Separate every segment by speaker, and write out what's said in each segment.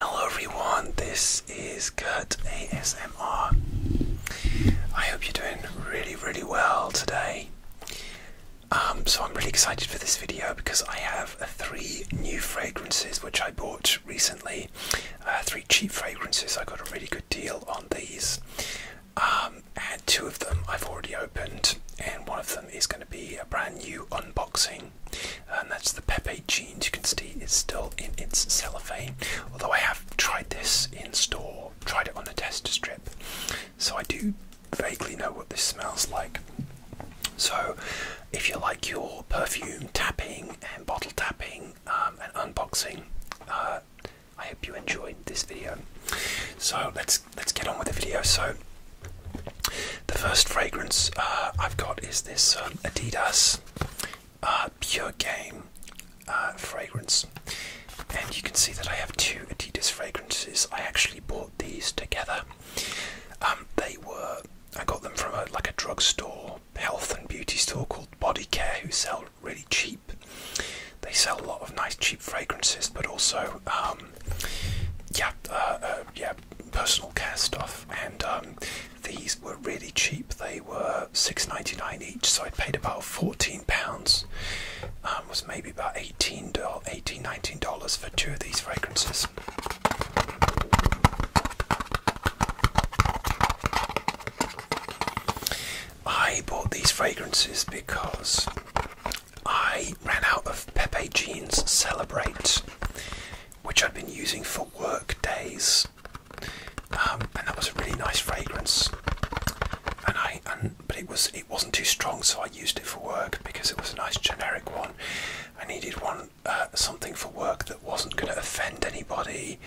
Speaker 1: Hello everyone, this is Kurt ASMR. I hope you're doing really, really well today. Um, so I'm really excited for this video because I have uh, three new fragrances which I bought recently. Uh, three cheap fragrances, I got a really good deal on these. Um, and two of them I've already opened and one of them is going to be a brand new unboxing and that's the Pepe jeans. You can see it's still in its cellophane, although I have tried this in store, tried it on a test strip, so I do vaguely know what this smells like. So, if you like your perfume tapping and bottle tapping um, and unboxing, uh, I hope you enjoyed this video. So let's let's get on with the video. So the first fragrance uh, I've got is this um, Adidas uh, Pure Game uh, fragrance, and you can see that I have two Adidas fragrances. I actually bought these together. Um, they were I got them from a, like a drugstore, health and beauty store called Body Care, who sell really cheap. They sell a lot of nice cheap fragrances, but also um, yeah, uh, yeah, personal care stuff, and um, these were really cheap. They were six ninety nine each, so I paid about fourteen pounds. Um, was maybe about 18 18 19 dollars for two of these fragrances. I bought these fragrances because I ran out of Pepe Jeans Celebrate which I'd been using for work days, um, and that was a really nice fragrance. And I, but it was it wasn't too strong, so I used it for work because it was a nice generic one. I needed one uh, something for work that wasn't going to offend anybody,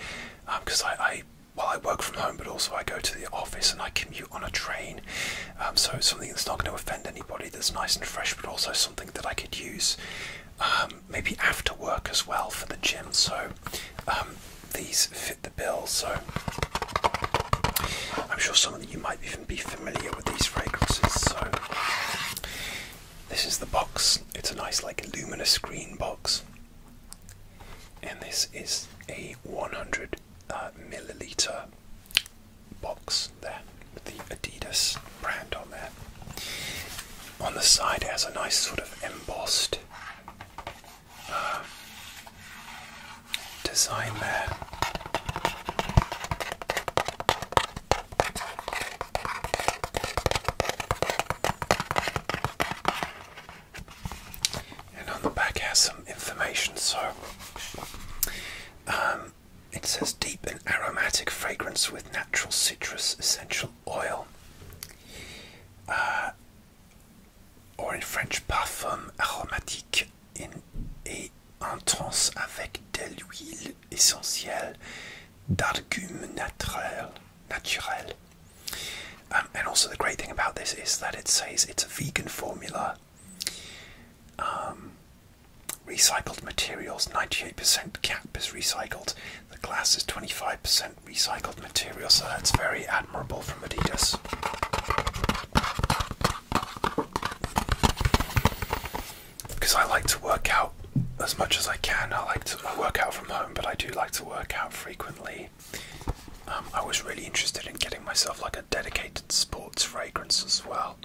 Speaker 1: because um, I, I well I work from home, but also I go to the office and I commute on a train. Um, so something that's not going to offend anybody, that's nice and fresh, but also something that I could use um, maybe after work as well for the gym. So um, these fit the bill. So I'm sure some of you might even be familiar with these fragrances. So this is the box. It's a nice, like, luminous green box, and this is a 100 uh, milliliter box there with the Adidas brand on there. On the side, it has a nice sort of embossed uh, design there. And on the back has some information. So, um, it says deep and aromatic fragrance with natural citrus essential oil. Uh, or in French, parfum aromatique in, et avec de essentielle d'argume naturel. naturel. Um, and also, the great thing about this is that it says it's a vegan formula. Um, Recycled materials 98% cap is recycled. The glass is 25% recycled material, so that's very admirable from Adidas. Because I like to work out as much as I can. I like to work out from home, but I do like to work out frequently. Um, I was really interested in getting myself like a dedicated sports fragrance as well.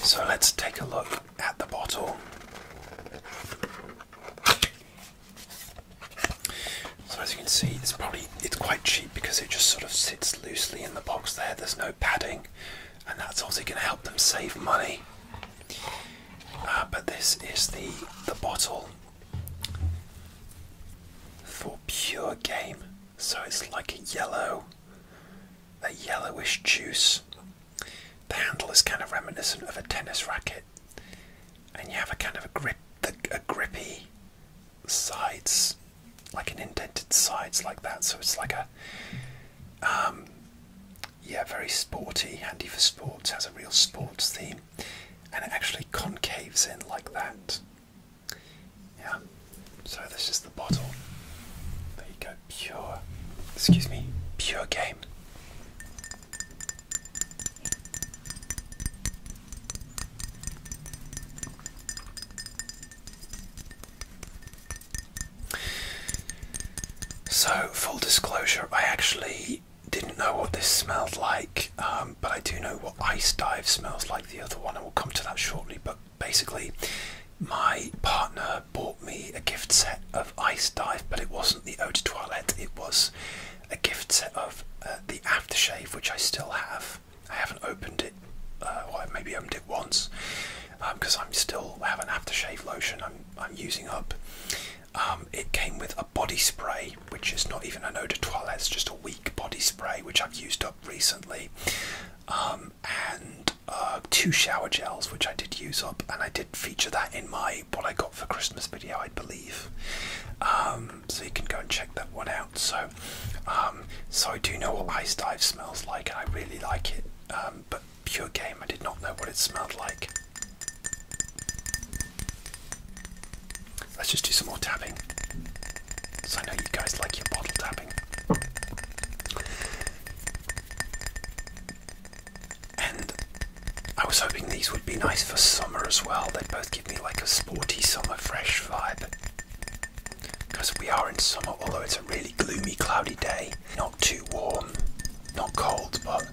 Speaker 1: So let's take a look at the bottle. So as you can see, it's probably it's quite cheap because it just sort of sits loosely in the box there. There's no padding, and that's obviously going to help them save money. Uh, but this is the the bottle for pure game, so it's like yellow a yellowish juice. The handle is kind of reminiscent of a tennis racket, and you have a kind of a grip, a grippy sides, like an indented sides like that. So it's like a, um, yeah, very sporty, handy for sports. Has a real sports theme, and it actually concaves in like that. Yeah. So this is the bottle. There you go. Pure. Excuse me. Pure game. So, full disclosure, I actually didn't know what this smelled like, um, but I do know what Ice Dive smells like, the other one, and we'll come to that shortly. But basically, my partner bought me a gift set of Ice Dive, but it wasn't the Eau de Toilette, it was a gift set of uh, the aftershave, which I still have. I haven't opened it, uh, or I maybe opened it once, because um, I'm still have an aftershave lotion I'm, I'm using up. Um, it came with a body spray, which is not even an eau de toilette, it's just a weak body spray, which I've used up recently. Um, and uh, two shower gels, which I did use up, and I did feature that in my what I got for Christmas video, I believe. Um, so you can go and check that one out. So, um, so I do know what Ice Dive smells like, and I really like it. Um, but pure game, I did not know what it smelled like. Let's just do some more tapping. So I know you guys like your bottle tapping. And I was hoping these would be nice for summer as well. They would both give me like a sporty summer fresh vibe. Because we are in summer, although it's a really gloomy, cloudy day. Not too warm, not cold, but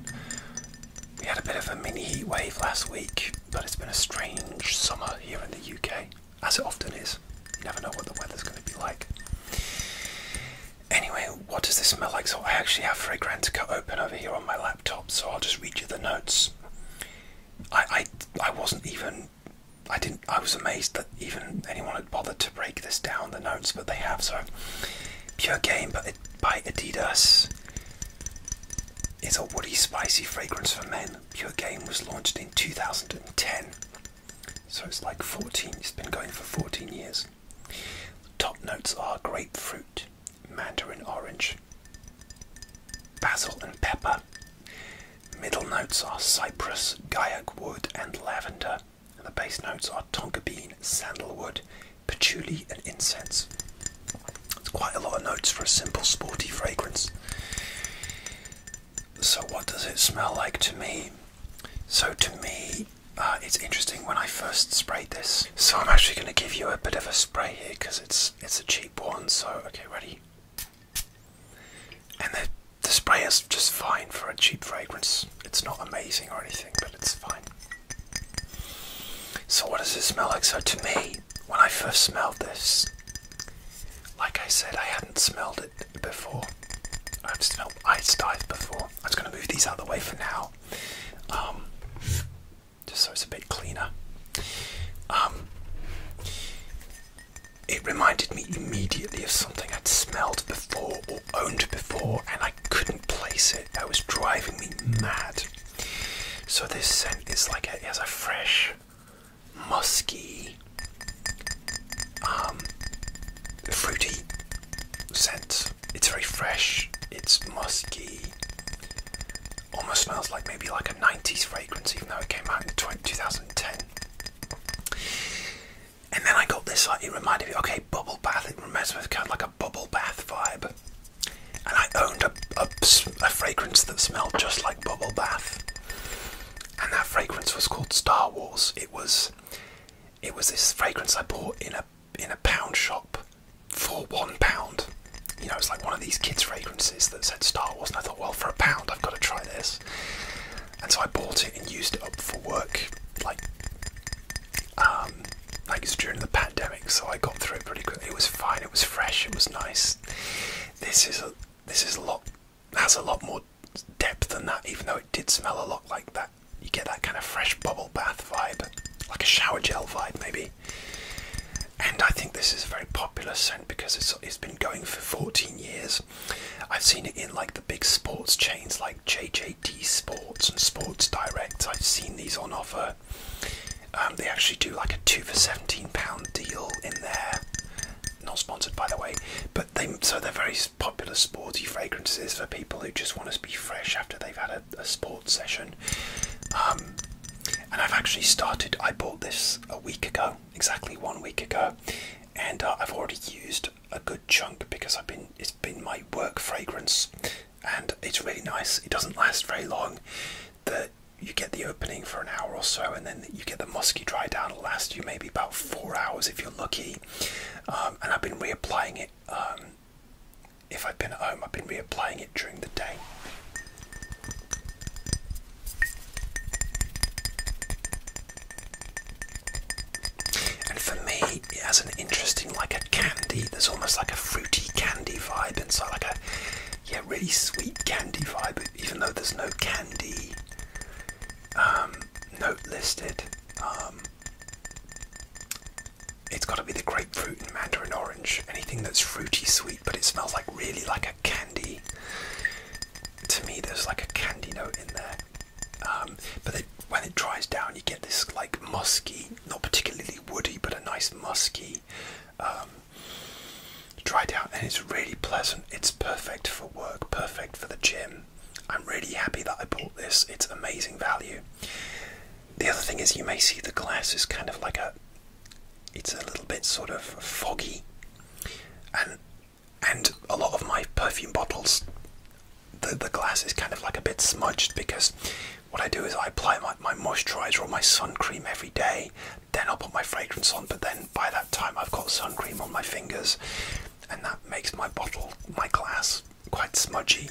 Speaker 1: we had a bit of a mini heat wave last week. But it's been a strange summer here in the UK as it often is. You never know what the weather's going to be like. Anyway, what does this smell like? So I actually have fragrant open over here on my laptop, so I'll just read you the notes. I, I, I wasn't even, I didn't, I was amazed that even anyone had bothered to break this down, the notes, but they have, so. Pure Game by, by Adidas is a woody, spicy fragrance for men. Pure Game was launched in 2010. So it's like 14, it's been going for 14 years. Top notes are grapefruit, mandarin orange, basil and pepper. Middle notes are cypress, gaiac wood, and lavender. And the base notes are tonka bean, sandalwood, patchouli, and incense. It's quite a lot of notes for a simple sporty fragrance. So, what does it smell like to me? So, to me, uh, it's interesting when I first sprayed this. So, I'm actually going to give you a bit of a spray here because it's it's a cheap one. So, okay, ready? And the the spray is just fine for a cheap fragrance. It's not amazing or anything, but it's fine. So, what does it smell like? So, to me, when I first smelled this, like I said, I hadn't smelled it before. I've smelled ice dive before. I'm just going to move these out of the way for now, um, just so it's a bit cleaner. Um, it reminded me immediately of something I'd smelled before or owned before, and I couldn't place it. That was driving me mad. So this scent is like it has a fresh, musky, um, fruity scent. It's very fresh. It's musky. Almost smells like maybe like a 90s fragrance, even though it came out in 2010. And then I got this, like, it reminded me, okay, bubble bath, it reminds me of kind of like a bubble bath vibe. And I owned a, a fragrance that smelled just like bubble bath and that fragrance was called Star Wars. It was, it was this fragrance I bought in a in a pound shop for one pound. You know, it's like one of these kids' fragrances that said Star Wars, and I thought, well, for a pound, I've got to try this. And so I bought it and used it up for work, like, um, like during the pandemic. So I got through it pretty quickly. It was fine. It was fresh. It was nice. This is a this is a lot has a lot more depth than that, even though it did smell a lot like that. You get that kind of fresh bubble bath vibe, like a shower gel vibe, maybe. And I think this is a very popular scent because it's, it's been going for 14 years. I've seen it in like the big sports chains like JJD Sports and Sports Direct. I've seen these on offer. Um, they actually do like a two for 17 pound deal in there not sponsored by the way, but they so they're very popular sporty fragrances for people who just want to be fresh after they've had a, a sports session. Um, and I've actually started. I bought this a week ago, exactly one week ago, and uh, I've already used a good chunk because I've been. It's been my work fragrance, and it's really nice. It doesn't last very long. The you get the opening for an hour or so, and then you get the musky dry down. It'll last you maybe about four hours if you're lucky. Um, and I've been reapplying it. Um, if I've been at home, I've been reapplying it during the day. And for me, it has an interesting, like a candy. There's almost like a fruity candy vibe inside, like a yeah, really sweet candy vibe even though there's no candy um, note listed, um, it's got to be the grapefruit and mandarin orange. Anything that's fruity sweet, but it smells like really like a candy. To me, there's like a candy note in there. Um, but when it dries down, you get this like musky, not particularly woody, but a nice musky Try it out, and it's really pleasant. It's perfect for work, perfect for the gym. I'm really happy that I bought this. It's amazing value. The other thing is, you may see the glass is kind of like a. It's a little bit sort of foggy, and and a lot of my perfume bottles, the the glass is kind of like a bit smudged because what I do is I apply my my moisturizer or my sun cream every day then I'll put my fragrance on, but then by that time I've got sun cream on my fingers, and that makes my bottle, my glass, quite smudgy.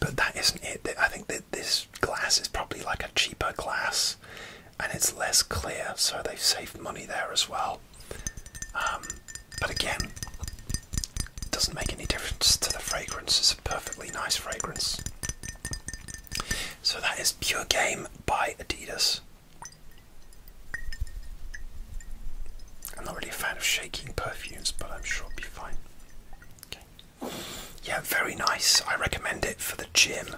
Speaker 1: But that isn't it. I think that this glass is probably like a cheaper glass, and it's less clear, so they've saved money there as well. Um, but again, it doesn't make any difference to the fragrance. It's a perfectly nice fragrance. So that is Pure Game by Adidas. I'm not really a fan of shaking perfumes, but I'm sure it'll be fine. Okay. Yeah, very nice. I recommend it for the gym.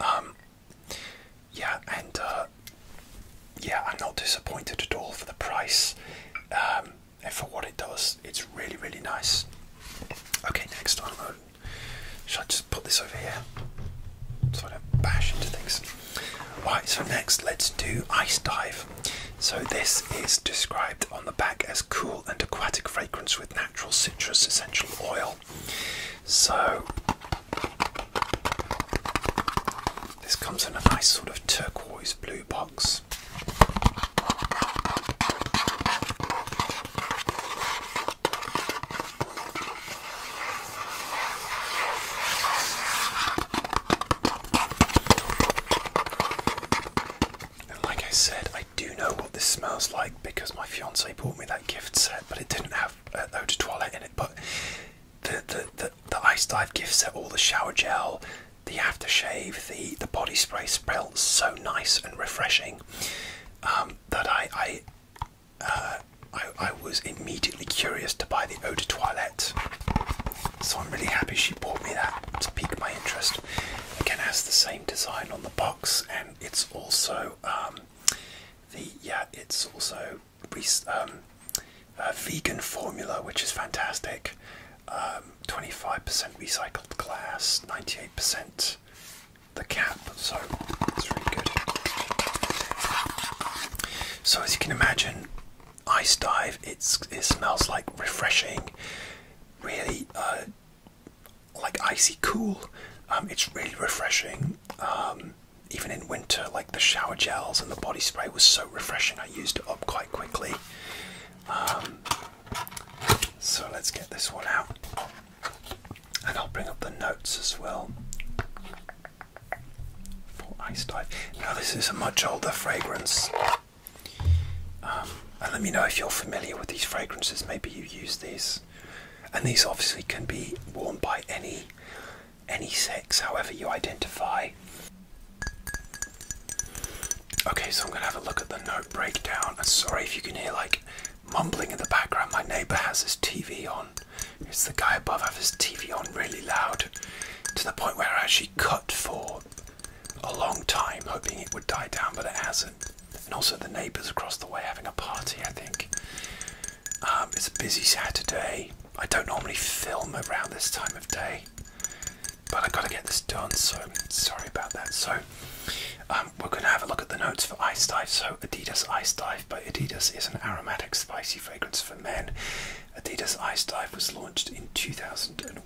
Speaker 1: Um, yeah, and uh, yeah, I'm not disappointed at all for the price um, for what it does. It's really, really nice. Okay, next one. Should I just put this over here so I don't bash into things? Right, so next let's do ice dive. So, this is described on the back as cool and aquatic fragrance with natural citrus essential oil. So, this comes in a nice sort of turquoise blue box like I said, I do know what this smells like because my fiance bought me that gift set, but it didn't have eau de toilette in it. But the, the the the ice dive gift set, all the shower gel, the aftershave, the the body spray smells so nice and refreshing um, that I I I, was immediately curious to buy the Eau de Toilette. So I'm really happy she bought me that to pique my interest. Again, it has the same design on the box, and it's also um, the yeah, it's also um, vegan formula, which is fantastic. 25% um, recycled glass, 98% the cap, so it's really good. So as you can imagine, ice dive. It's it smells like refreshing, really uh, like icy cool. Um, it's really refreshing. Um, even in winter, like the shower gels and the body spray was so refreshing. I used it up quite quickly. Um, so let's get this one out. And I'll bring up the notes as well for Ice Dive. Now, this is a much older fragrance. Um, and let me know if you're familiar with these fragrances. Maybe you use these. And these obviously can be worn by any any sex, however you identify. Okay, so I'm gonna have a look at the note breakdown. And sorry if you can hear like mumbling in the background. My neighbour has his TV on. It's the guy above I have his TV on really loud, to the point where I actually cut for a long time, hoping it would die down, but it hasn't. And also the neighbours across the way having a party. I think um, it's a busy Saturday. I don't normally film around this time of day, but I have got to get this done. So sorry about that. So um, we're going to have a look at the notes for Ice Dive. So, Adidas Ice Dive by Adidas is an aromatic, spicy fragrance for men. Adidas Ice Dive was launched in 2001.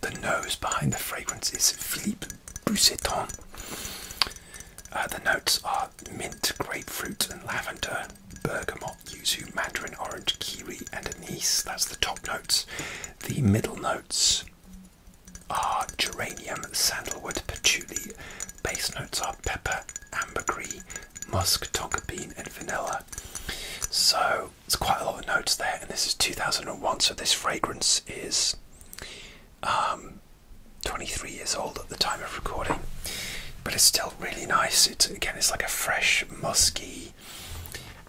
Speaker 1: The nose behind the fragrance is Philippe Bousseton. Uh, the notes are mint, grapefruit, and lavender, bergamot, yuzu, mandarin, orange, kiwi, and anise. That's the top notes. The middle notes are geranium, sandalwood, patchouli. Base notes are pepper, ambergris, musk, tonka bean, and vanilla. So it's quite a lot of notes there, and this is 2001, so this fragrance is um, 23 years old at the time of recording, but it's still really nice. It again, it's like a fresh, musky,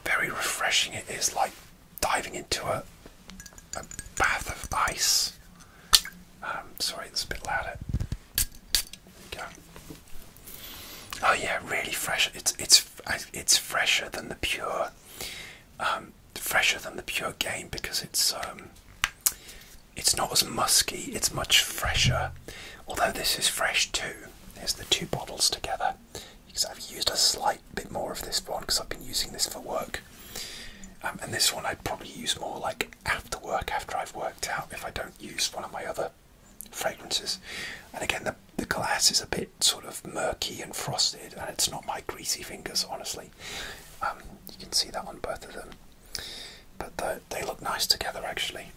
Speaker 1: very refreshing. It is like diving into a a bath of ice. Um, sorry, it's a bit louder. Go. Oh yeah, really fresh. It's it's it's fresher than the pure, um, fresher than the pure game because it's um, it's not as musky. It's much fresher. Although this is fresh too. There's the two bottles together because I've used a slight bit more of this one because I've been using this for work. Um, and this one I'd probably use more like after work, after I've worked out, if I don't use one of my other fragrances. And again, the, the glass is a bit sort of murky and frosted, and it's not my greasy fingers, honestly. Um, you can see that on both of them. But they look nice together, actually.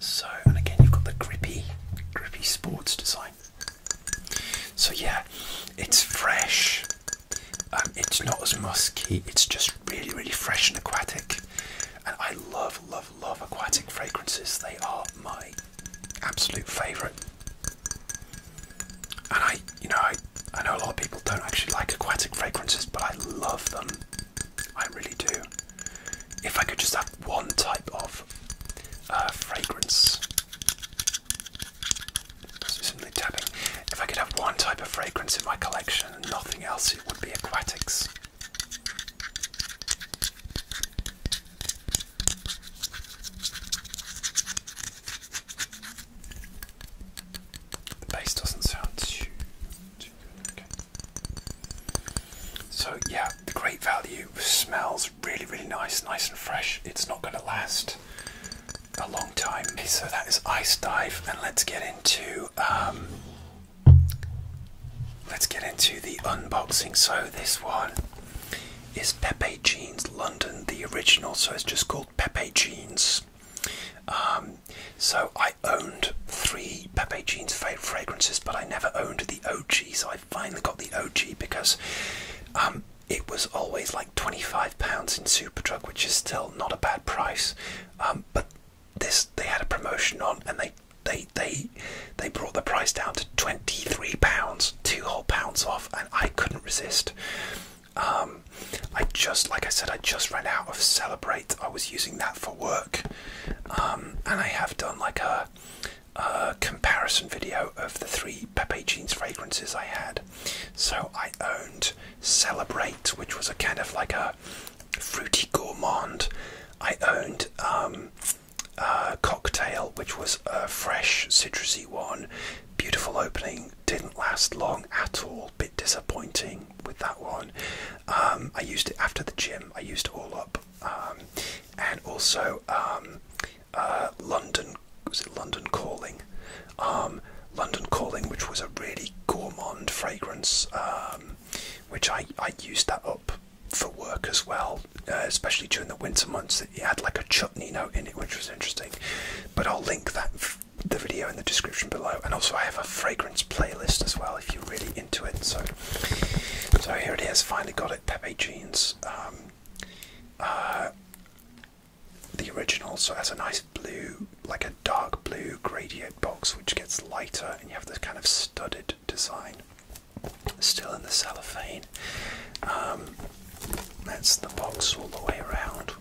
Speaker 1: So, and again, you've got the grippy, grippy sports design. So, yeah, it's fresh, um, it's not as musky, it's just really, really fresh and aquatic. And I love, love, love aquatic fragrances. They are my absolute favourite. And I, you know, I, I know a lot of people don't actually like aquatic fragrances, but I love them. I really do. If I could just have one type of uh, fragrance so simply tapping. If I could have one type of fragrance in my collection and nothing else, it would be aquatics. The bass doesn't sound too, too good. So yeah, the great value smells really, really nice, nice and fresh. It's not going to last a long time. so that is Ice Dive, and let's get into um, let's get into the unboxing. So this one is Pepe Jeans London, the original. So it's just called Pepe Jeans. Um, so I owned three Pepe Jeans fragrances, but I never owned the OG. So I finally got the OG because um, it was always like 25 pounds in Superdrug, which is still not a bad price. Um, but this they had a promotion on, and they they they they brought the price down to 23 pounds, two whole pounds off, and I couldn't resist. Um, I just like I said, I just ran out of Celebrate. I was using that for work, um, and I have done like A comparison video of the three Pepe Jeans fragrances I had so I owned Celebrate, which was a kind of like a fruity gourmand. I owned um, Cocktail, which was a fresh, citrusy one. Beautiful opening, didn't last long at all. Bit disappointing with that one. Um, I used it after the gym, I used it all up. Um, and also uh, London was it London Calling, um, London Calling, which was a really gourmand fragrance, um, which I I used that up for work as well, uh, especially during the winter months. It had like a chutney note in it, which was interesting. But I'll link that the video in the description below, and also I have a fragrance playlist as well if you're really into it. So, so here it is. Finally got it. Pepe Jeans. Um, uh, the original also has a nice blue, like a dark blue gradient box, which gets lighter, and you have this kind of studded design still in the cellophane. Um, that's the box all the way around.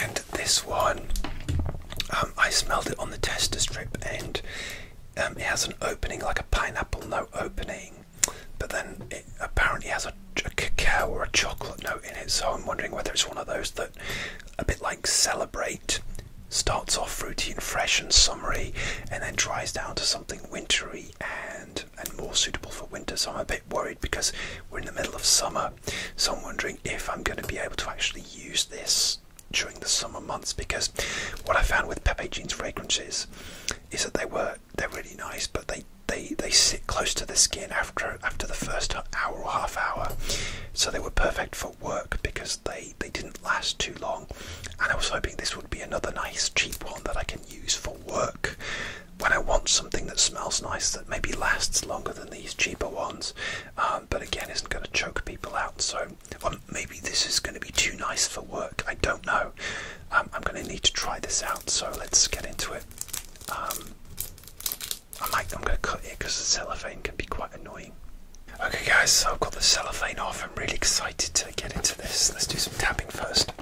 Speaker 1: And this one, um, I smelled it on the tester strip, and um, it has an opening like a pineapple no opening, but then it apparently has a, a cacao or a chocolate note in it, so I'm wondering whether it's one of those that, a bit like Celebrate, starts off fruity and fresh and summery, and then dries down to something wintry and and more suitable for winter. So I'm a bit worried because we're in the middle of summer, so I'm wondering if I'm going to be able to actually use this during the summer months because what I found with Pepe Jean's fragrances is that they were they're really nice, but they they they sit close to the skin after after the first hour or half hour, so they were perfect for work because they they didn't last too long, and I was hoping this would be another nice cheap one that I can use for work when I want something that smells nice that maybe lasts longer than these cheaper ones, um, but again isn't going to choke people out. So well, maybe this is going to be too nice for work. I don't know. Um, I'm going to need to try this out. So let's get into it. Um, I I'm going to cut it because the cellophane can be quite annoying. Okay, guys. So I've got the cellophane off. I'm really excited to get into this. Let's do some tapping first.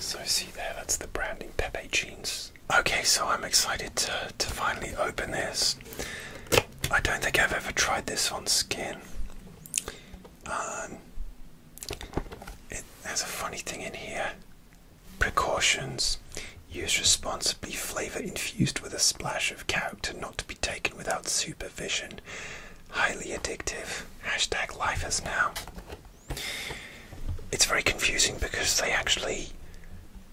Speaker 1: So see there, that's the branding Pepe jeans. Okay, so I'm excited to to finally open this. I don't think I've ever tried this on skin. Um, it has a funny thing in here. Precautions. Use responsibly flavor infused with a splash of character not to be taken without supervision. Highly addictive. Hashtag life is now. It's very confusing because they actually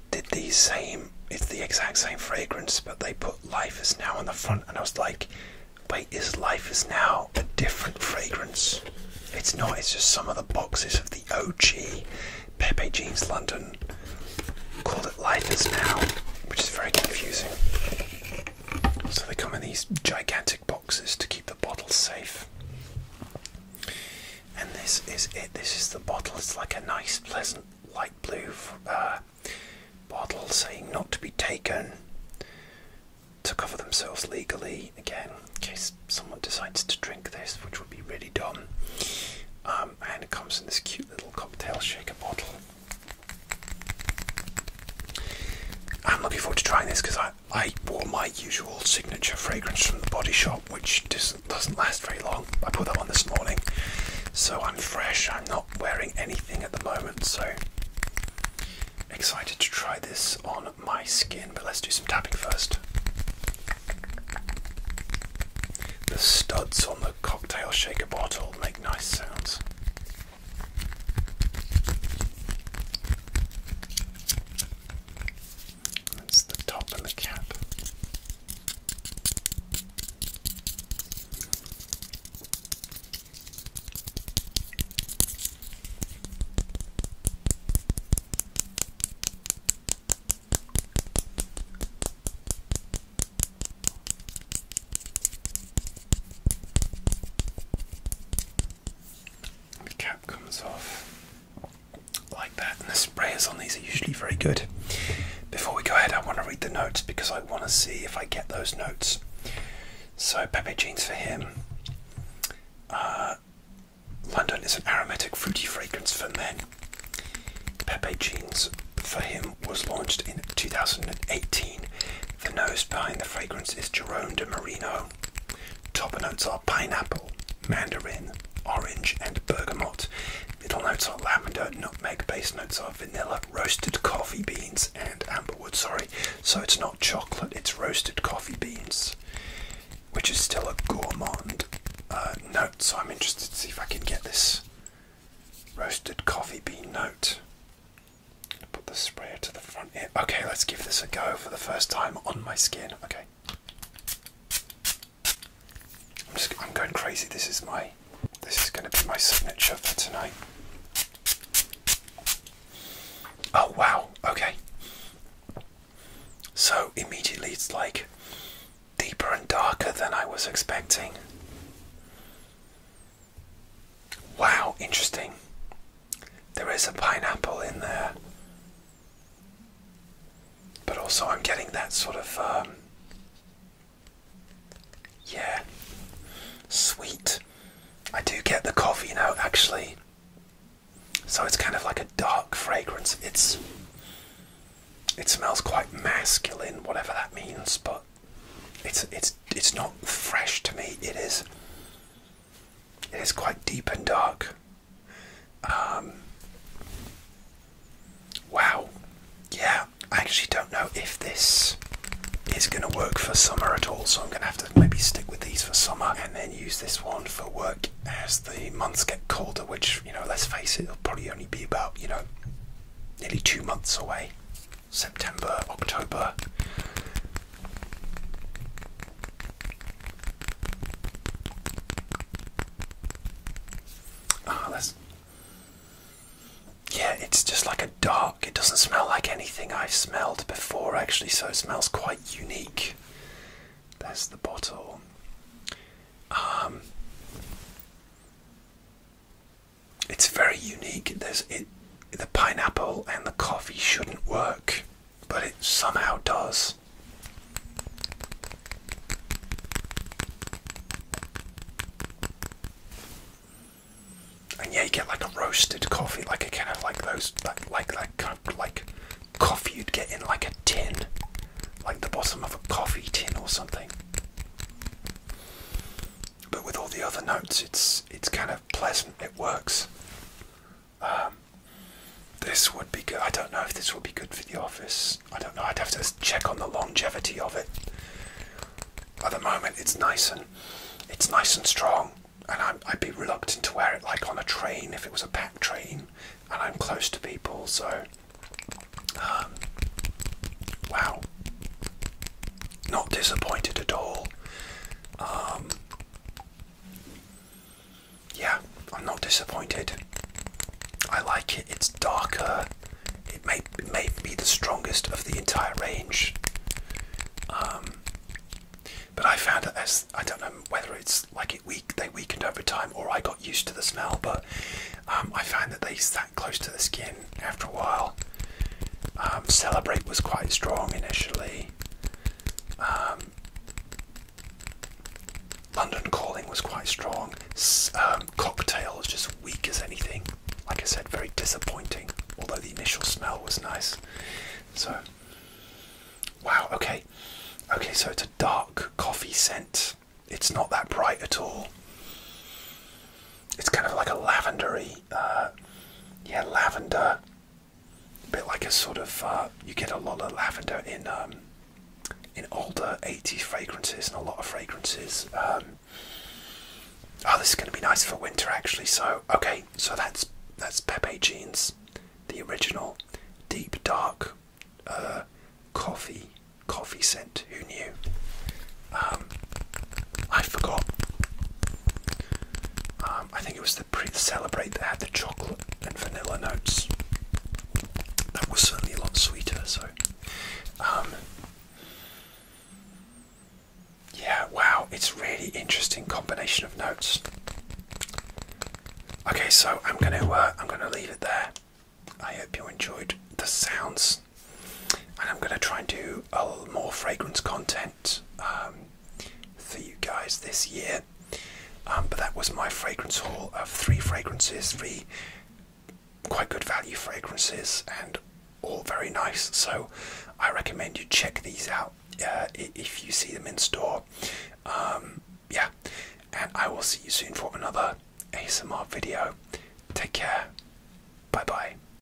Speaker 1: did the same, it's the exact same fragrance, but they put Life is Now on the front, and I was like, wait, is Life is Now a different fragrance? It's not, it's just some of the boxes of the OG Pepe Jeans London called it Life is Now, which is very confusing. So they come in these gigantic boxes to keep the bottle safe. And this is it. This is the bottle. It's like a nice, pleasant light blue uh, bottle saying not to be taken to cover themselves legally. Again, in case someone decides to drink this, which would be really dumb. Um, and it comes in this cute little cocktail shaker bottle. I'm looking forward to trying this because I, I wore my usual signature fragrance from the body shop, which doesn't, doesn't last very long. I put that on this morning, so I'm fresh. I'm not wearing anything at the moment, so excited to try this on my skin. But let's do some tapping first. The studs on the cocktail shaker bottle make nice sounds. That's the top and the cap. The cap comes off like that, and the sprayers on these are usually very good. Before we go ahead, I want to read the notes because I want to see if I get those notes. So, Pepe Jeans for him. Uh, London is an aromatic, fruity fragrance for men. Pepe Jeans for him was launched in 2018 the nose behind the fragrance is Jerome de Marino. Top notes are pineapple, mandarin, orange, and bergamot. Middle notes are lavender, nutmeg. Base notes are vanilla, roasted coffee beans, and amberwood. Sorry, so it's not chocolate, it's roasted coffee beans, which is still a gourmand uh, note. So I'm interested to see if I can get this roasted coffee bean note. Put the sprayer to the front Okay, let's give this a go for the first time on my skin. Okay. I'm going crazy. This is my this is gonna be my signature for tonight. Oh wow, okay. So immediately it's like deeper and darker than I was expecting. Wow, interesting. There is a pineapple in there. But also, I'm getting that sort of, um, yeah, sweet. I do get the coffee now, actually. So it's kind of like a dark fragrance. It's. It smells quite masculine, whatever that means, but it's it's it's not fresh to me. It is it is quite deep and dark. Um, wow. Yeah, I actually don't know if this is going to work for summer at all, so I'm going to have to maybe stick with these for summer and then use this one for work as the months get colder, which, you know, let's face it, it'll probably only be about, you know, nearly two months away. September, October, Oh, that's. Yeah, it's just like a dark. It doesn't smell like anything I've smelled before, actually, so it smells quite unique. There's the bottle. Um. It's very unique. There's it, the pineapple and the coffee shouldn't work, but it somehow does. And yeah, you get like a roasted coffee, like a kind of like those, like like like kind of like coffee you'd get in like a tin, like the bottom of a coffee tin or something but with all the other notes, it's it's kind of pleasant. It works. Um, this would be good. I don't know if this would be good for the office. I don't know. I'd have to check on the longevity of it. At the moment, it's nice and it's nice and strong, and i would be reluctant to wear it like on a train if it was a packed train, and I'm close to people. So, um, wow, not disappointed at all. Um, yeah, I'm not disappointed. I like it. It's darker. It may may be the strongest of the entire range. Um, but I found that as I don't know whether it's like it weak they weakened over time or I got used to the smell, but um, I found that they sat close to the skin after a while, um, Celebrate was quite strong initially. Um, London Calling was quite strong. Um, cocktail was just weak as anything. Like I said, very disappointing, although the initial smell was nice. So, wow, okay. Okay, so it's a dark coffee scent. It's not that bright at all. It's kind of like a lavendery, uh, yeah, lavender. bit like a sort of uh, you get a lot of lavender in um, in older '80s fragrances and a lot of fragrances. Um, oh, this is going to be nice for winter, actually. So okay, so that's that's Pepe Jeans, the original deep dark uh, coffee coffee scent. Who knew? Um, I forgot. Um, I think it was the pre celebrate that had the chocolate and vanilla notes. That was certainly a lot sweeter. So, um, yeah, wow, it's really interesting combination of notes. Okay, so I'm gonna uh, I'm gonna leave it there. I hope you enjoyed the sounds and I'm going to try and do more fragrance content um, for you guys this year. Um, but that was my fragrance haul of three fragrances, three quite good value fragrances, and all very nice. So I recommend you check these out uh, if you see them in store. Um, yeah, and I will see you soon for another ASMR video. Take care. Bye bye.